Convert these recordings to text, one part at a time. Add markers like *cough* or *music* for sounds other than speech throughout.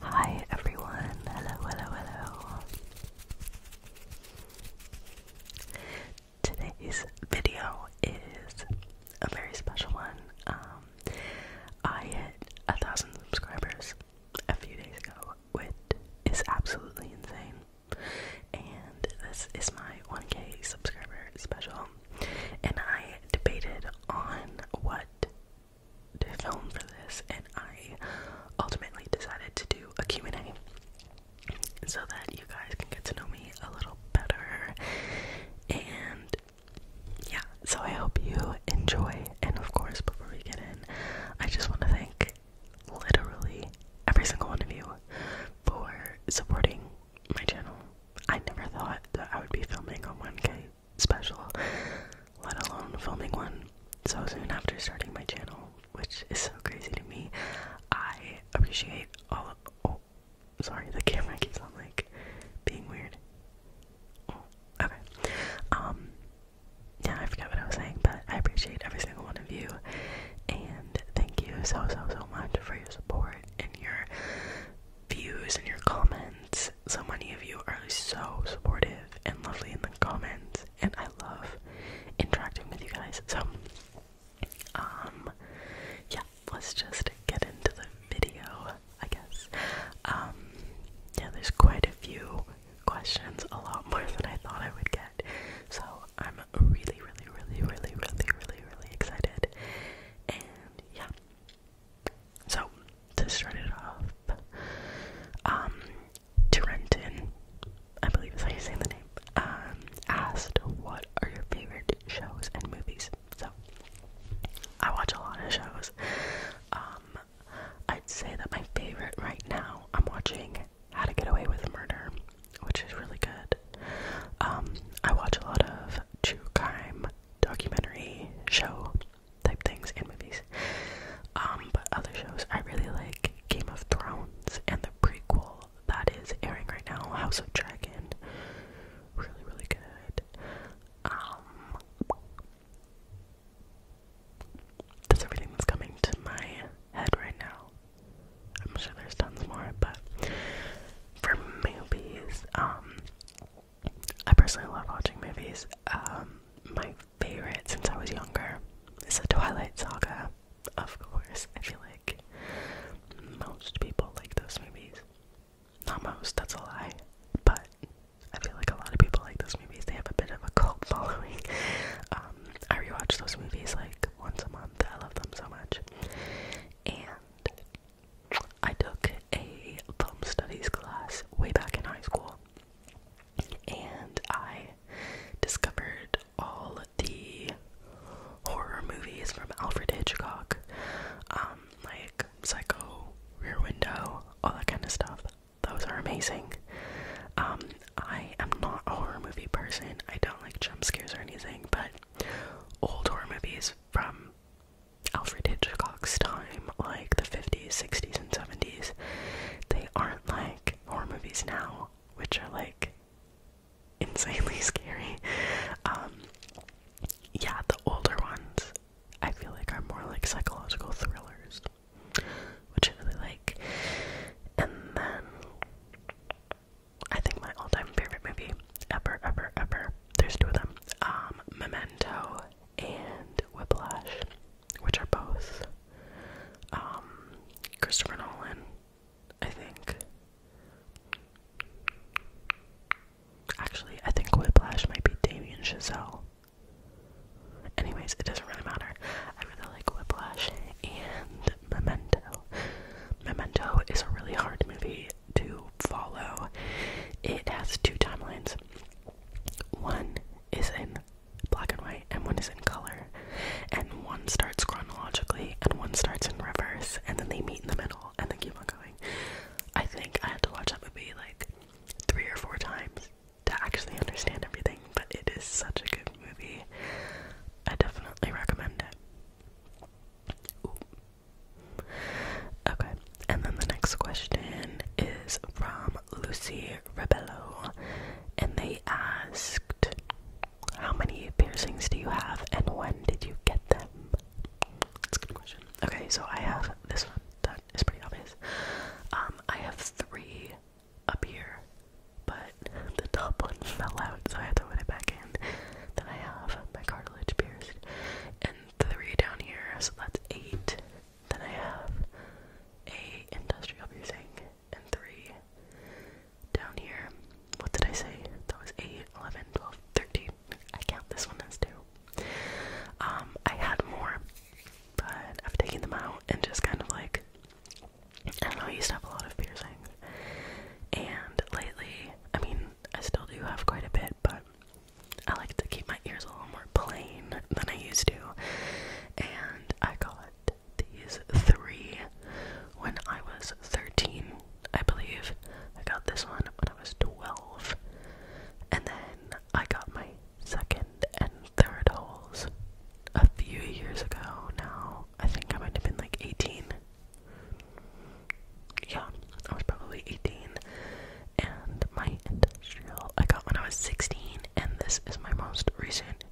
Hi everyone, hello, hello, hello. Today's video is a very special one. Um, I hit a thousand subscribers a few days ago, which is absolutely insane. And this is my 1k subscriber special and I debated on what to film for this, and I ultimately decided to do a Q&A so that you guys can get to know me a little better, and yeah, so I hope you enjoy, and of course, before we get in, I just want to thank literally every single one of you for supporting my channel I never thought that I would be filming a 1K special, let alone filming one so soon after starting my channel, which is so crazy to me. I appreciate all of. Oh, sorry, the camera keeps on like being weird. Oh, okay. Um, yeah, I forgot what I was saying, but I appreciate every single one of you, and thank you so so so much for your support and your views and your comments. So many of you are so supportive and lovely in the comments, and I love interacting with you guys. So, um, yeah, let's just get into the video, I guess. Um, yeah, there's quite a few questions, a lot more than I thought I would get. So, I'm really, really, really, really, really, really, really excited. And yeah, so, to start it off, um, Tarentin, I believe is how you say the name, um, asked, What are your favorite shows and movies? So, I watch a lot of shows. Um, I'd say that my favorite right now, I'm watching How to Get Away with Murder, which is really good. Um, I watch a lot of true crime documentary show type things and movies. Um, but other shows I really like Game of Thrones and the prequel that is airing right now, House of Dragon. Really, really good. Um that's everything that's coming to my head right now. I'm sure there's tons more, but for movies, um, I personally love watching movies. Um, my favorite since I was younger is the Twilight Saga. Of course, I feel like most people like those movies. Not most, that's a lie, but I feel like a lot of people like those movies. They have a bit of a cult *laughs* following. Um, I rewatch those movies like once a month. I love them so much. And I took a film studies class way back in high school, and I discovered all the horror movies from Alfred Hitchcock, um, like Psycho, Rear Window, all that kind of stuff. Those are amazing. Um, I am not a horror movie person. I don't like jump scares or anything, but old horror movies from Alfred Hitchcock's time, like the 50s, 60s, and 70s, they aren't like horror movies now, which are like insanely *laughs* scary. Um, yeah, the older ones I feel like are more like psychological thrillers, which I really like. And then I think my all-time favorite movie ever, ever, ever. There's two of them. Um, Memento and Whiplash, which are both um Christopher Nolan, I think. Actually, I think Whiplash might be Damien Chazelle. Anyways, it doesn't really matter. I really like Whiplash and Memento. Memento is a really hard movie to follow. It has two timelines. One is in black and white, and one is in color. And one starts chronologically, and one starts in reverse, and then they meet in the middle, and they keep on going. I think I had to watch that movie like three or four times to actually understand everything, but it is such a good movie. I definitely recommend it. Okay, and then the next question is from Lucy Rebello, and they asked, How many piercings do you have and when did you get them? That's a good question. Okay, so I have this one that is pretty obvious. Um, I have three up here, but the top one *laughs* fell out, so I had to put it back in. Then I have my car and three down here, so that's eight. Then I have a industrial piercing, and three down here. What did I say? That was 8, 11, 12, 13. I count this one as two. Um, I had more, but I've taken them out and just kind of like, I don't know, I used to have a lot of piercings. And lately, I mean, I still do have quite a bit, but I like to keep my ears a little more plain than I used to. And I got these three when I was 13, I believe. I got this one when I was 12. And then I got my second and third holes a few years ago now. I think I might have been like 18, yeah, I was probably 18, and my industrial I got when I was 16, and this is my most recent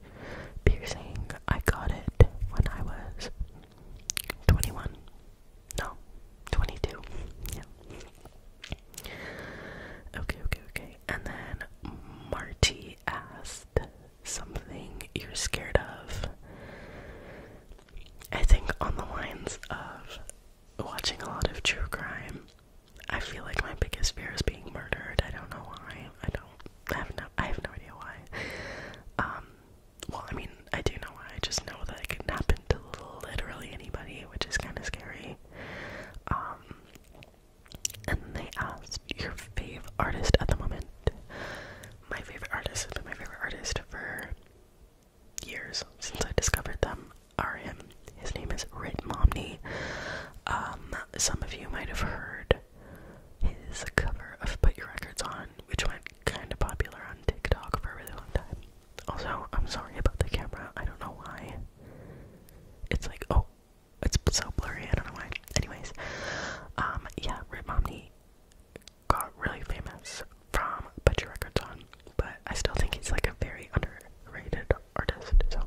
piercing. I got it when I was 21. No, 22. Yeah. Okay, okay, okay. And then Marty asked something you're scared of. I think on the lines of watching a lot of true crime, I feel like my biggest fear is being murdered. I don't know why. I don't I have no I have no idea why. Um well I mean I do know why, I just know that it can happen to literally anybody, which is kinda scary. Um and they asked your fave artist at the moment my favorite artist has been my favorite artist for years since I discovered them are him. His name is Rit Momney. Um, some of you might have heard his cover of Put Your Records On, which went kinda popular on TikTok for a really long time. Also, I'm sorry about the camera, I don't know why. It's like, oh, it's so blurry, I don't know why. Anyways, um, yeah, Rit Momney got really famous from Put Your Records On, but I still think he's like a very underrated artist. So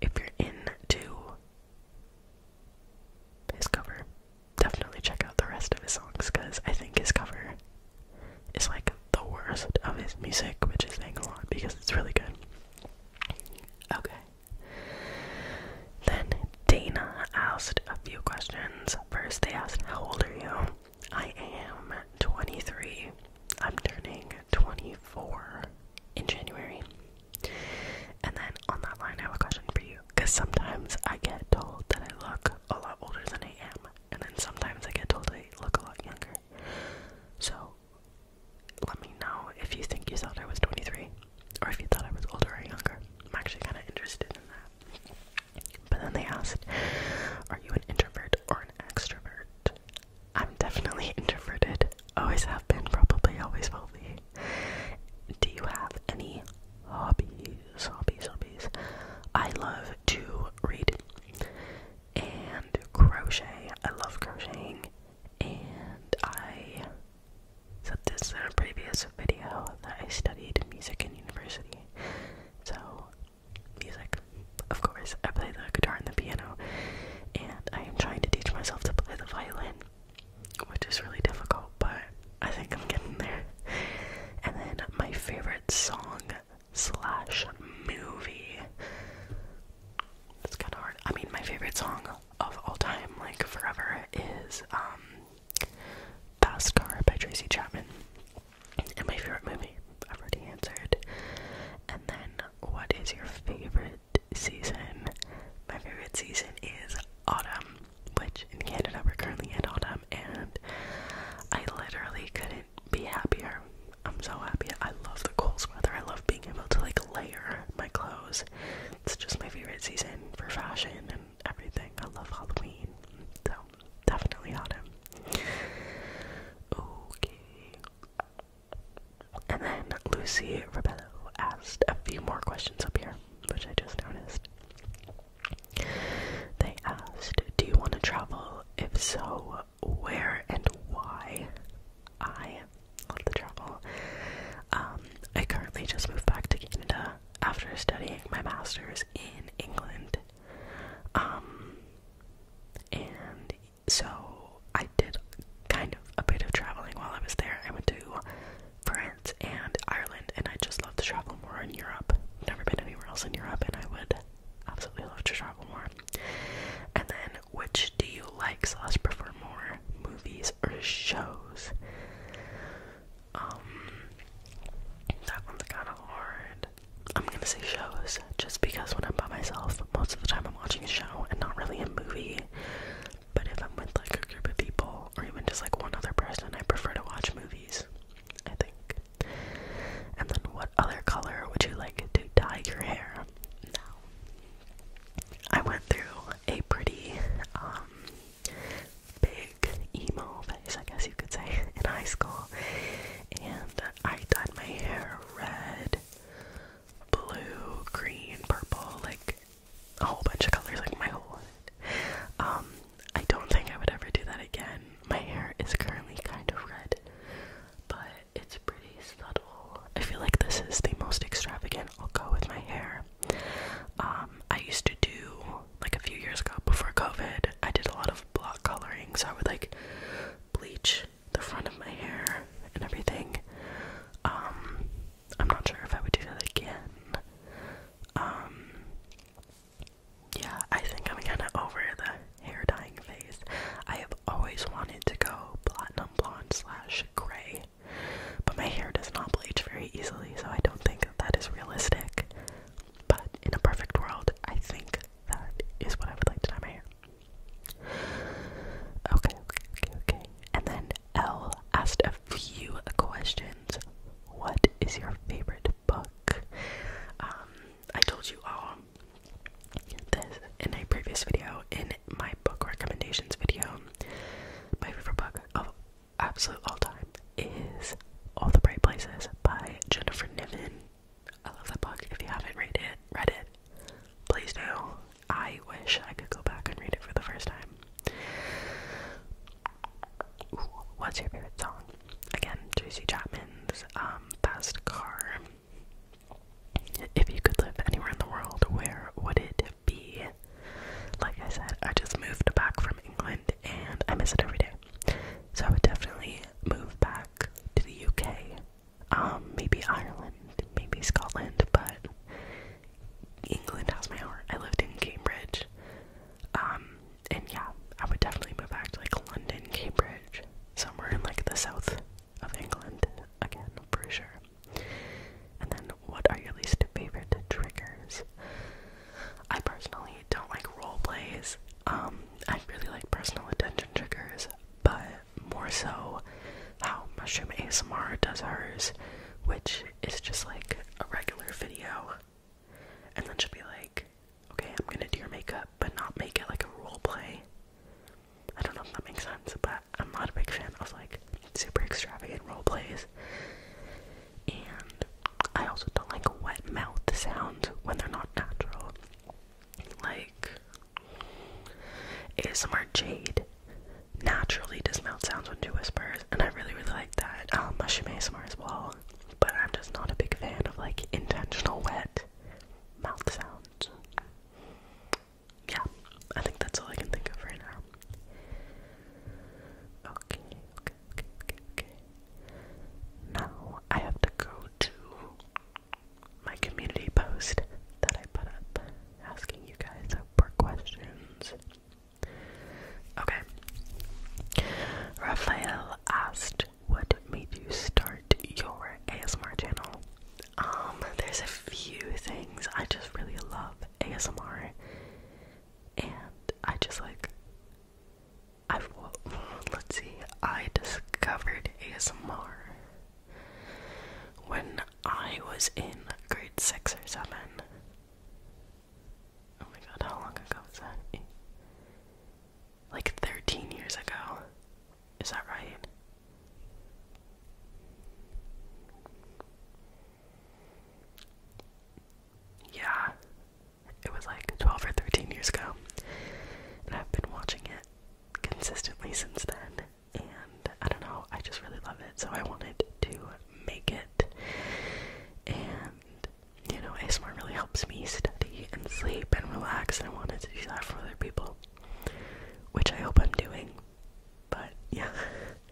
if you're into his cover, definitely check out the rest of his songs because I think his cover is like the worst of his music, which is saying a lot because it's really good. Okay. Then Dana asked a few questions. First, they asked, How old are you? I am 23. I'm turning 24 in January. And then on that line, I have a question for you. Because sometimes I get told that I look a lot older than I am. And then sometimes I get told I look a lot younger. So, let me know if you think you thought I was 23 or if you thought I was older or younger. I'm actually kind of interested in that. But then they asked, Are you an introvert or an extrovert? I'm definitely introverted. Always have been, probably always will be. Do you have any hobbies? Hobbies, hobbies. I love to read and crochet. I love crocheting. And I so this is a previous video that I studied music in university. So, music, of course, I play the guitar and the piano, and I am trying to teach myself to play the violin, which is really difficult, but I think I'm getting there. And then my favorite song slash movie. It's kind of hard. I mean, my favorite song of all time, like forever, is um Fast Car by Tracy Chapman. And my favorite movie, I've already answered. And then, what is your favorite season? My favorite season is autumn, which in Canada we're currently in autumn, and I literally couldn't be happier. I'm so happy. I love the cold weather. I love being able to like layer my clothes. It's just my favorite season for fashion and everything. I love Halloween. So definitely autumn. Okay. And then Lucy Rebello asked a few more questions up here, which I just noticed. They asked, Do you want to travel? If so, where and why? I love to travel. Um, I currently just moved back to Canada after studying my master's in England. Um, and so I did kind of a bit of traveling while I was there. I went to France and Ireland, and I just love to travel more in Europe. Never been anywhere else in Europe, and I would absolutely love to travel more. And then, which do you like So slash prefer more, movies or shows? Um, that one's kind of hard. I'm gonna say shows, just because when I'm by myself, most of the time I'm watching a show and not really a movie. But if I'm with like a group of people, or even just like one other person, I prefer to watch movies. I think. And then, what other color would you like to dye your hair? Now, I went through a pretty um, big emo face, I guess you could say, *laughs* in high school. And I dyed my hair red, blue, green, purple, like a whole bunch of colors, like my whole Um, I don't think I would ever do that again. My hair is currently kind of red, but it's pretty subtle. I feel like this is the most extravagant I'll go with my hair. Um, I used to do like a few years ago before COVID. I did a lot of block coloring, so I would like bleach the front of my hair and everything. Um, I'm not sure if I would do that again. Um, yeah, I think I'm kind of over the hair dyeing phase. I have always wanted to go platinum blonde slash gray. But my hair does not bleach very easily, so I don't think that, that is realistic. But in a perfect world, I think that is what I would like to dye my hair. Okay, okay, okay, okay. And then L asked a few questions. What is your favorite book? Um, I told you all this in a previous video, in my book recommendations video. My favorite book of absolute all time is All the Bright Places by Jennifer Niven. I love that book. If you haven't read it, read it, please do. I wish I could go back and read it for the first time. what's your favorite song? Again, Tracy Chapman's um, Fast Car. If you could live anywhere in the world, where would it be. Like I said, I just moved back from England and I miss it every day. So I would definitely move back to the UK. Um, maybe Ireland, maybe Scotland, but England has my heart. I lived in Cambridge. Um, and yeah, I would definitely move back to like London, Cambridge, somewhere in like the south of England again for sure. And then, what are your least favorite triggers? I personally don't like role plays. Um, I really like personal attention triggers, but more so how Mushroom ASMR does hers, which is just like a regular video. And then she'll be like, okay, I'm gonna do your makeup, but not make it like a role play. I don't know if that makes sense, but I'm not a big fan of like super extravagant role plays, and I also don't like wet mouth sounds when they're not natural. Like is ASMR Jade naturally does mouth sounds when she whispers, and I really really like that. Um, mushroom ASMR as well, but I'm just not a big fan of like intentional wet mouth sounds yeah, I think that's all I can think of right now. Okay, okay, okay, okay, okay. Now I have to go to my community post that I put up asking you guys for questions. Okay. Raphael asked, What made you start your ASMR channel? Um, there's a few things I just really love ASMR, and I just like I let's see, I discovered ASMR when I was in grade six or seven. Oh my god, how long ago was that? Like 13 years ago. Is that right? Yeah, it was like 12 or 13 years ago, and I've been watching it consistently since then. And I don't know, I just really love it, so I wanted to make it. And you know, ASMR really helps me study and sleep and relax, and I wanted to do that for other people, which I hope I'm doing. But yeah. *laughs*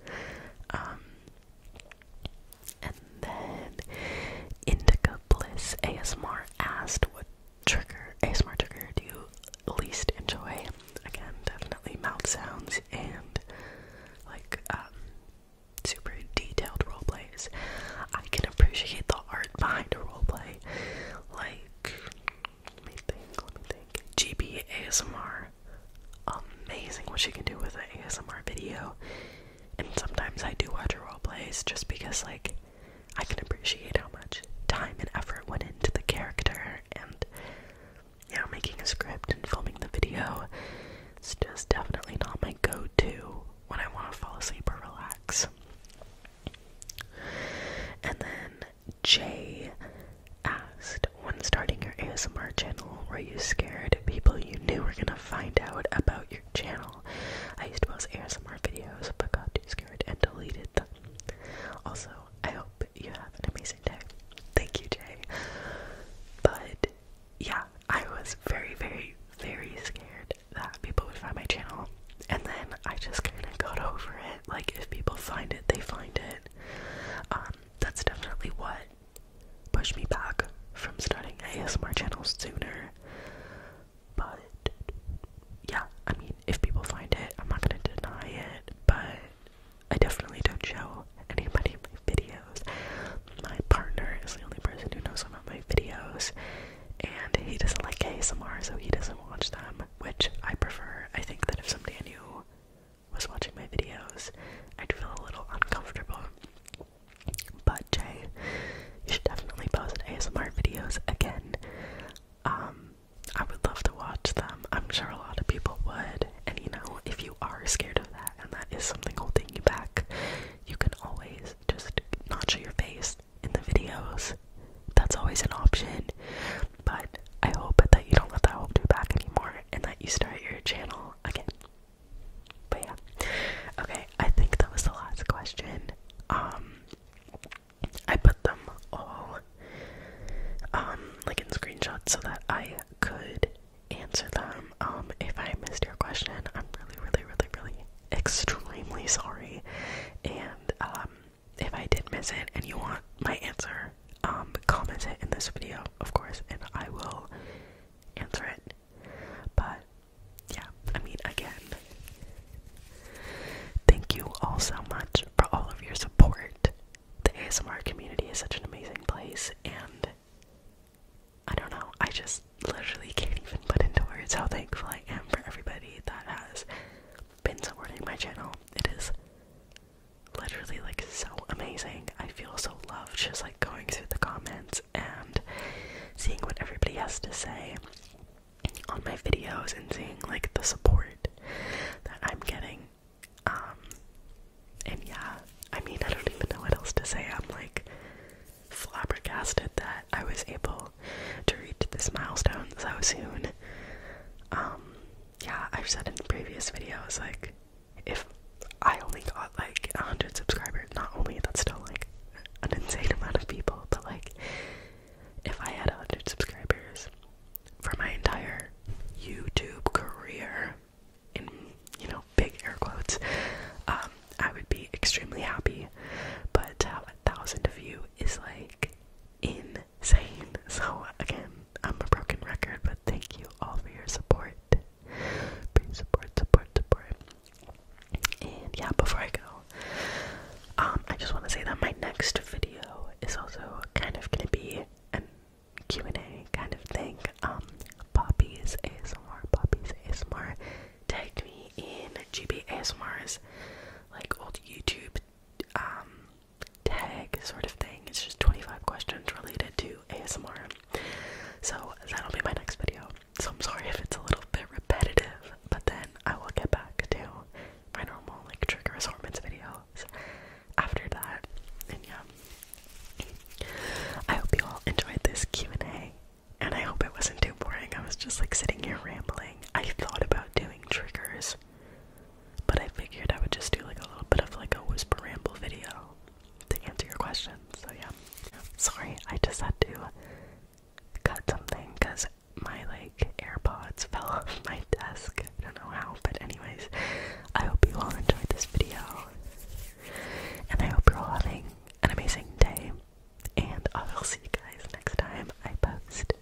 Um, and then Indica Bliss ASMR asked what trigger ASMR trigger do you least enjoy? Again, definitely mouth sounds and like um super detailed role plays. I can appreciate the art behind a role play. Like let me think, let me think. GB ASMR. Amazing what you can do with an ASMR video. And sometimes I do watch her role plays just because, like, I can appreciate how much time and effort went into the character and, you making a script and filming the video. It's just definitely not my go to when I want to fall asleep or relax. And then Jay asked, when starting your ASMR channel, were you scared people you knew were gonna find out about your channel? I used to post ASMR videos but got too scared and deleted them. Also, I hope you have an amazing day. Thank you, Jay. But yeah, I was very, very, very scared that people would find my channel. And then I just kind of got over it. Like, if people find it, they find it. Um, that's definitely what pushed me back from starting ASMR channels sooner. But yeah, I mean, if people find it, I'm not gonna deny it, but I definitely don't show anybody my videos. My partner is the only person who knows about my videos, and he doesn't like ASMR, so he doesn't watch them, which I prefer. I think that if somebody new was watching my videos, I'd feel a little uncomfortable. But Jay, you should definitely post ASMR videos again. Um, I would love to watch them. I'm sure a lot of people would. And you know, if you are scared of that and that is something holding you back, you can always just not show your face in the videos. That's always an option. But I hope that you don't let that hope do back anymore and that you start your channel again. But yeah. Okay, I think that was the last question. Um I put them all um like in screenshots so that I could answer them. Um if I missed your question, I'm really, really, really, really extremely sorry. And um if I did miss it and you want my answer, um, comment it in this video, of course, and I will answer it. But yeah, I mean, again, thank you all so much for all of your support. The ASMR community is such an amazing place, and I don't know, I just literally can't even put into words how thankful I am for everybody that has been supporting my channel. It is literally like so amazing. I feel so loved just like going through the comments and seeing what everybody has to say on my videos and seeing like the support that I'm getting. Um and yeah, I mean I don't even know what else to say. I'm like flabbergasted that I was able to reach this milestone so soon. Um yeah, I've said in previous videos, like, if I only got like 100 subscribers, not only that's still like an insane *laughs* amount of people, but like, if I had 100 subscribers for my entire YouTube career, in you know, big air quotes, um, I would be extremely happy. But to have a thousand of you is like insane. So, again, I'm a broken record, but thank you all for your support. Please support, support, support. And yeah, before I go, um, I just want to say that my next video is also kind of gonna be an Q&A kind of thing. Um, Poppy's ASMR, Poppy's ASMR Take me in GB ASMR's like old YouTube um tag sort of thing. It's just 25 questions related to ASMR. So that'll be my next video. So I'm sorry if it's a little bit repetitive, but then I will get back to my normal like trigger assortments videos after that. And yeah. I hope you all enjoyed this Q&A. And I hope it wasn't too boring. I was just like sitting here rambling. I thought about doing triggers but I figured I would just do like a little bit of like a whisper ramble video to answer your questions. So yeah. Sorry, I just had to cut something because my like AirPods fell off my desk. I don't know how, but anyways, I hope you all enjoyed this video. And I hope you're all having an amazing day. And I will see you guys next time I post.